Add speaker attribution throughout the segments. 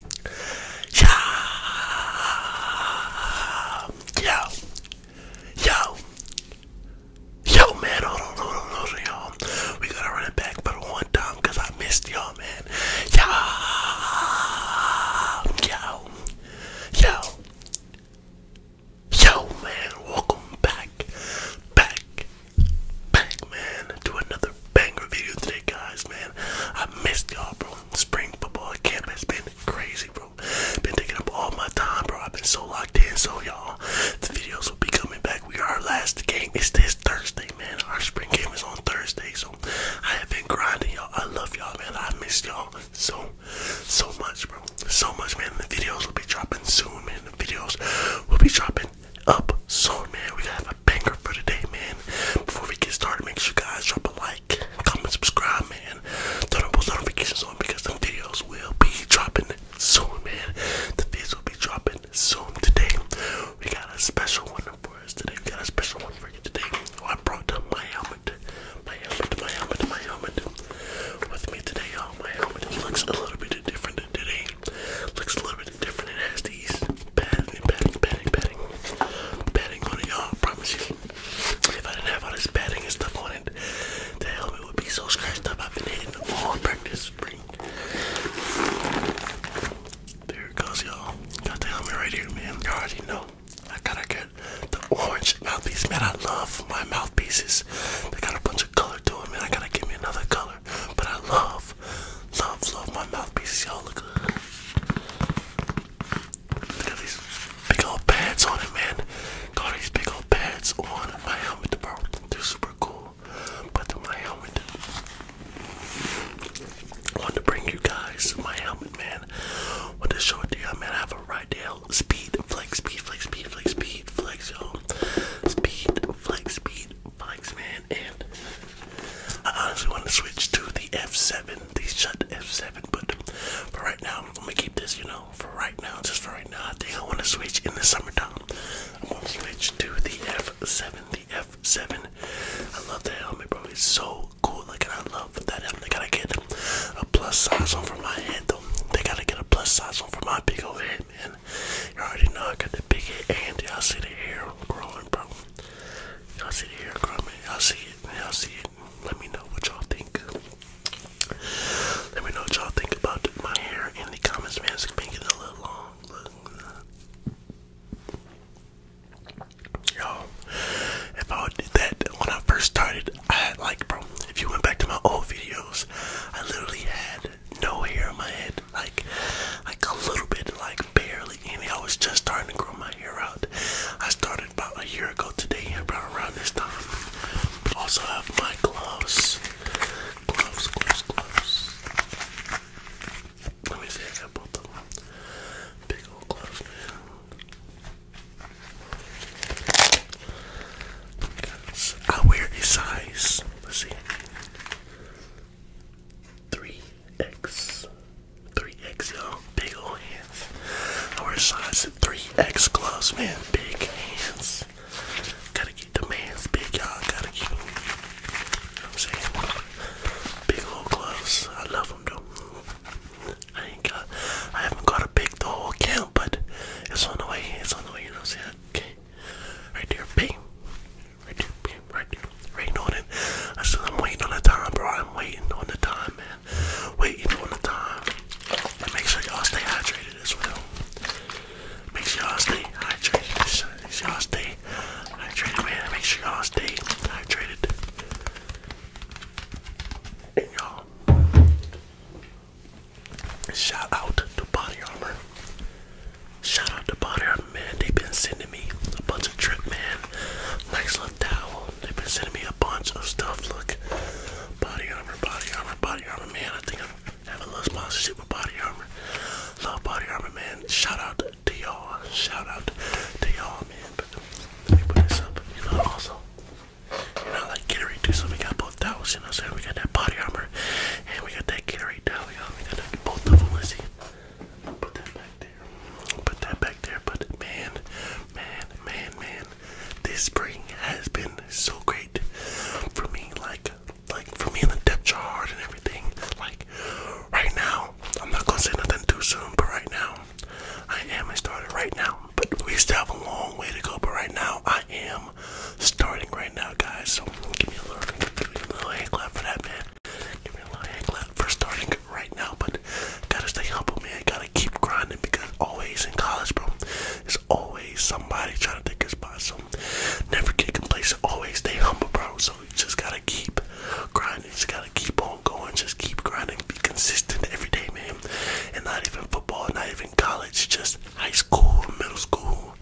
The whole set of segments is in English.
Speaker 1: Yo, yo, yo, man, hold on, hold on, hold on, y'all. We gotta run it back but one time I missed y'all, man. yo, yo, yo, man, welcome back, back, back, man, to another another banger today, guys, man. I missed y'all, bro. Spring football camp has been crazy, bro. Been taking up all my time, bro. I've been so locked in, so y'all, the videos will be coming back. We are last game. is this Thursday, man. Our spring game is on Thursday, so I have been grinding, y'all. I love y'all, man. I miss y'all so, so much, bro. So much, man. The videos will be dropping soon, man. The videos will be dropping up soon, man. We got a for today, man. Before we get started, make sure you guys drop a like, comment, subscribe, man. Turn on post notifications on because some videos will be dropping soon, man. The videos will be dropping soon today. We got a special one for us today. We got a special one for you today. I brought my helmet, my helmet, my helmet, my helmet with me today. Oh, my helmet looks a little bit different today. Looks a little bit different. It has these betting, betting, betting, betting, betting money, y'all. I promise you. If I didn't have all this batting and stuff on it, the helmet would be so scratched up. I've been hitting all practice There it goes, y'all. Got the helmet right here, man. You know. I gotta get the orange mouthpiece. Man, I love my mouthpieces. They got a bunch of color to them, man. I gotta give me another color. But I love love, love, love my mouthpieces. Y'all look good. Look at these big old pads on it, man. Got these big old pads on my helmet, bro. They're super cool. Put on my helmet. I want to bring you guys my helmet, man. I want to show it to you, man. I have a Rydale Speed Flex, Speed Flex, Speed Flex, Speed Flex, yo. Speed Flex, Speed bikes, man, and I honestly want to switch to the F7, the shut F7, but for right now, I'm keep this, you know, for right now, just for right now. I think I want to switch in the summertime. I'm gonna switch to the F7, the F7. I love that helmet, bro. It's so cool. Like, I love that helmet. They gotta get a plus size one for my head, though. They gotta get a plus size one for my big old head, man. You already know I got the big head, and y'all see the hair growing, bro. Y'all see the hair growing? Y'all see it? Y'all see it? Let me know what y'all think. Let me know what y'all think about my hair in the comments, man. It's been getting a little long. Uh, y'all, if I would that when I first started, I had like, bro, if you went back to my old videos, I literally had no hair on my head bit, like like a little bit, like barely any. I was just starting to grow my hair out. I started about a year ago today, about around this time. Also have my gloves, gloves, gloves, gloves. Let me see, I got both of them. Big old gloves, man. I wear a size. Let's see. 3X. 3X, y'all. Big old hands. I wear size 3X gloves, man. Big hands. Gotta keep the man's big, y'all. Gotta keep You know what I'm saying? Big old gloves. I love though. I ain't got, I haven't got a big the whole but it's on the way. It's on the way, you know what I'm saying? Okay. Right there. Bam right, right, right on it. I said, I'm waiting on the time, bro. I'm waiting on the time, man. Waiting on the time. make sure y'all stay hydrated as well. Make sure y'all stay hydrated. Make sure y'all stay hydrated, man. Make sure y'all stay hydrated. y'all, shout out to Body Armor. Shout out to Body Art Man. They've been sending me a bunch of drip man. Nice little towel. They've been sending me a bunch of stuff. Look. Body armor, body armor, body armor, man. I think I'm having a little sponsorship with body armor. Love body armor, man. Shout out to y'all. Shout out to y'all, man. But let me put this up. You know, also, you know, like Gatorade too. So we got both towels, you know what I'm saying? We got that body armor and we got that Gatorade towel, y'all. We got that, both of them. Let's see. Put that back there. Put that back there. But man, man, man, man, this spring has been so great for me. Like, like for me in the depth chart and everything. Like, right now, I'm not gonna say nothing too soon. But right now, I am. I started right now. But we still have a long way to go. But right now, I am starting right now, guys. So give me a little, give me a little hand clap for that, man. Give me a little hand clap for starting right now, but gotta stay humble, man. Gotta keep grinding because always in college, bro, there's always somebody trying to take your spot. So never get complacent. Always stay humble, bro. So you just gotta keep grinding. Just gotta keep on going. Just keep grinding. Be consistent every day, man. And not even football, not even college, just high school, middle school.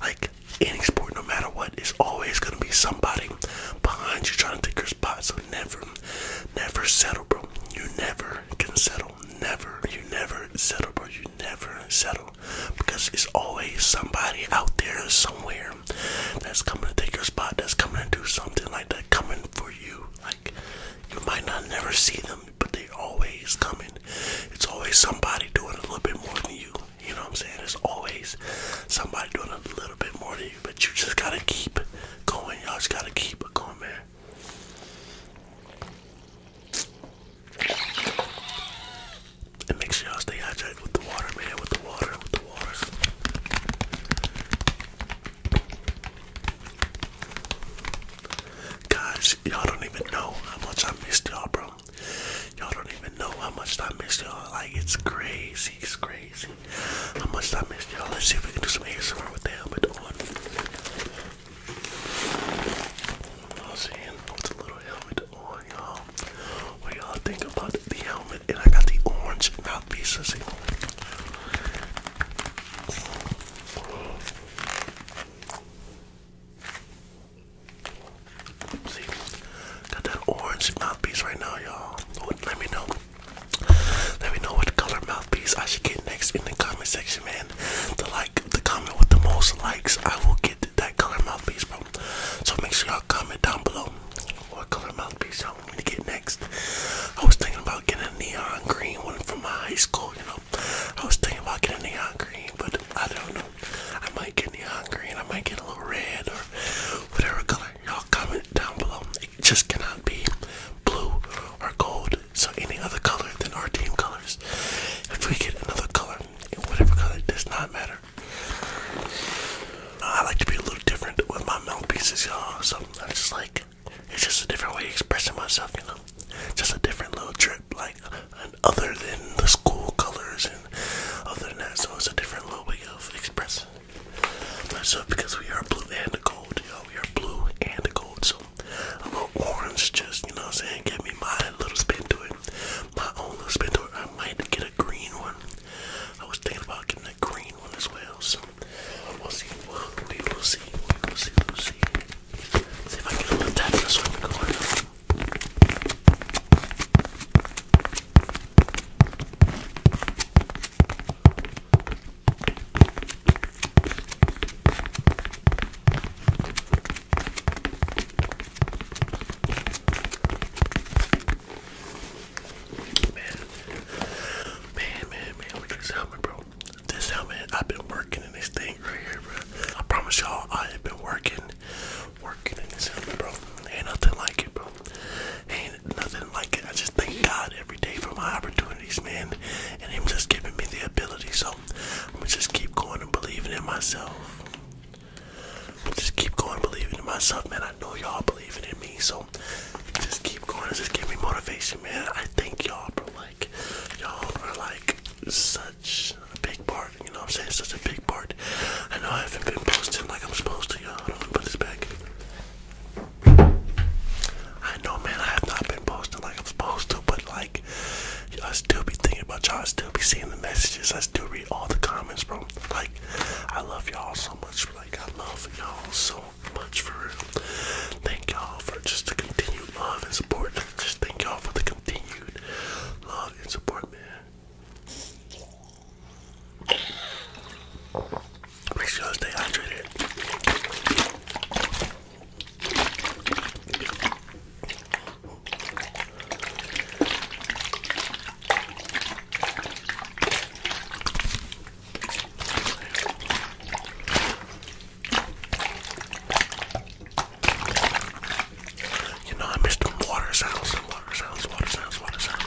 Speaker 1: Like any sport, no matter what, is always gonna be somebody behind you trying to take your spot. So never, never settle, bro. You never can settle. Never, you never settle, bro. You never settle because it's always somebody out there somewhere that's coming to take your spot. That's coming to do something like that. Coming for you. Like you might not never see them, but they always coming. It's always somebody doing a little bit more than you. You know what I'm saying? There's always somebody doing a little bit more to you, but you just gotta keep going. Y'all just gotta keep it going, man. And make sure y'all stay hydrated with the water, man. With the water, with the water. Guys, y'all don't even know how much I missed y'all, bro. Y'all don't even know how much I missed y'all. Like it's crazy, it's crazy. How much I missed y'all. Let's see if we can do some ASMR with the helmet on. I'm saying with a little helmet on, y'all. What y'all think about the helmet? And I got the orange mouthpieces. See, got that orange mouthpiece right now, y'all. Let me know. Let me know what color mouthpiece I should get next in the comment section, man. The like, the comment with the most likes, I will get that color mouthpiece, bro. So make sure y'all comment down below what color mouthpiece I want to get next. I was thinking about getting a neon green one from my high school, you know. I was thinking about getting a neon green, but I don't know. I might get any hungry and I might get a little red or whatever color. Y'all comment down below. It just cannot be blue or gold. So any other color than our team colors. If we get another color, whatever color, does not matter. I like to be a little different with my mouthpieces, y'all. So I'm just like, it's just a different way of expressing myself, you know. Just a different little trip, like and other than the school colors and other than that. So it's a different way of expressing myself because we are blue and gold, you We are blue and gold. So I'm going an orange, just, you know I'm saying? Give me my little spin to it. My own little spin to it. I might get a green one. I was thinking about getting a green one as well. So we'll see. We'll, we will see. We will see. We'll see. See if I get a little tap this one. Man, man, man, look at this helmet, bro. This helmet, I've been working in this thing right here, bro. I promise y'all, I have been working working in this helmet, bro. Ain't nothing like it, bro. Ain't nothing like it. I just thank God every day for my opportunities, man, and Him just giving me the ability. So I'm just keep going and believing in myself. Just keep going, believing in myself, man. I know y'all believing in me, so just keep going. and Just give me motivation, man. I thank y'all, bro. Like y'all are like such is a big part, you know what I'm saying? It's such a big part. I know I haven't been posting like I'm supposed to, y'all. Hold on, put this back. I know, man, I have not been posting like I'm supposed to, but like, I still be thinking about y'all. I still be seeing the messages. I still read all the comments, bro. Like, I love y'all so much. Like, I love y'all so much for real. Thank y'all for just the continued love and support. Just thank y'all for the continued love and support, man. Make sure to stay hydrated. You know, I miss them water sounds, them water sounds, water sounds, water sounds.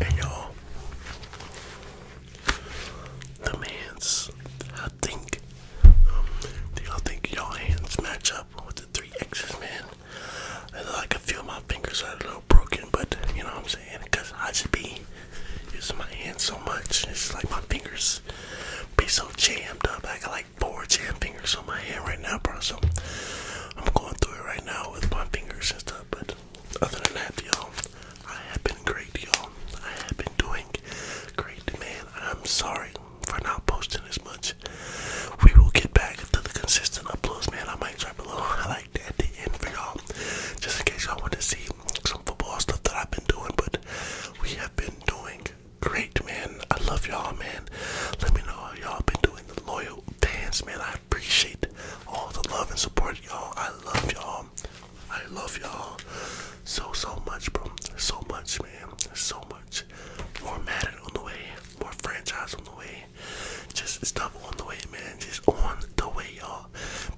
Speaker 1: And y'all, the man's, I think, do y'all think y'all hands match up with the three X's, man? And I feel my fingers are a little broken, but you know what I'm saying? Because I should be using my hands so much. It's like my fingers be so jammed up. I can like like four jam fingers on my hand right now, bro. So I'm going through it right now with my fingers and stuff. But other than that, y'all, I have been great, y'all. I have been doing great, man. I'm sorry for not posting as much. We will get back to the consistent uploads, man. I might drop a little highlight at the end for y'all, just in case y'all want to see some football stuff that I've been doing. But we have been doing great, man. I love y'all, man. Let me know how y'all been doing the loyal fans, man. I appreciate all the love and support, y'all. I love y'all. I love y'all so so much, bro. So much, man. So much. More Madden on the way. More franchise on the way. Just stuff on the way, man. Just on the way, y'all.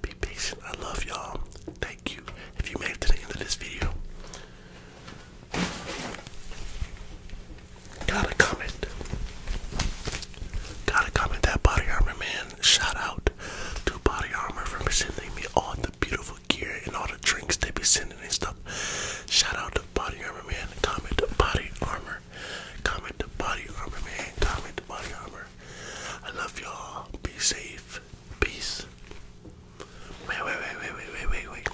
Speaker 1: Be patient. I love y'all. Thank you. If you made it to the end of this video, Gotta comment. Gotta comment that body armor man. Shout out to Body Armor for sending me all the beautiful gear and all the drinks they be sending and stuff. Shout out to Body Armor Man. Comment Body Armor. Comment Body Armor Man. Comment Body Armor. I love y'all. Be safe. Peace. wait, wait, wait, wait, wait, wait, wait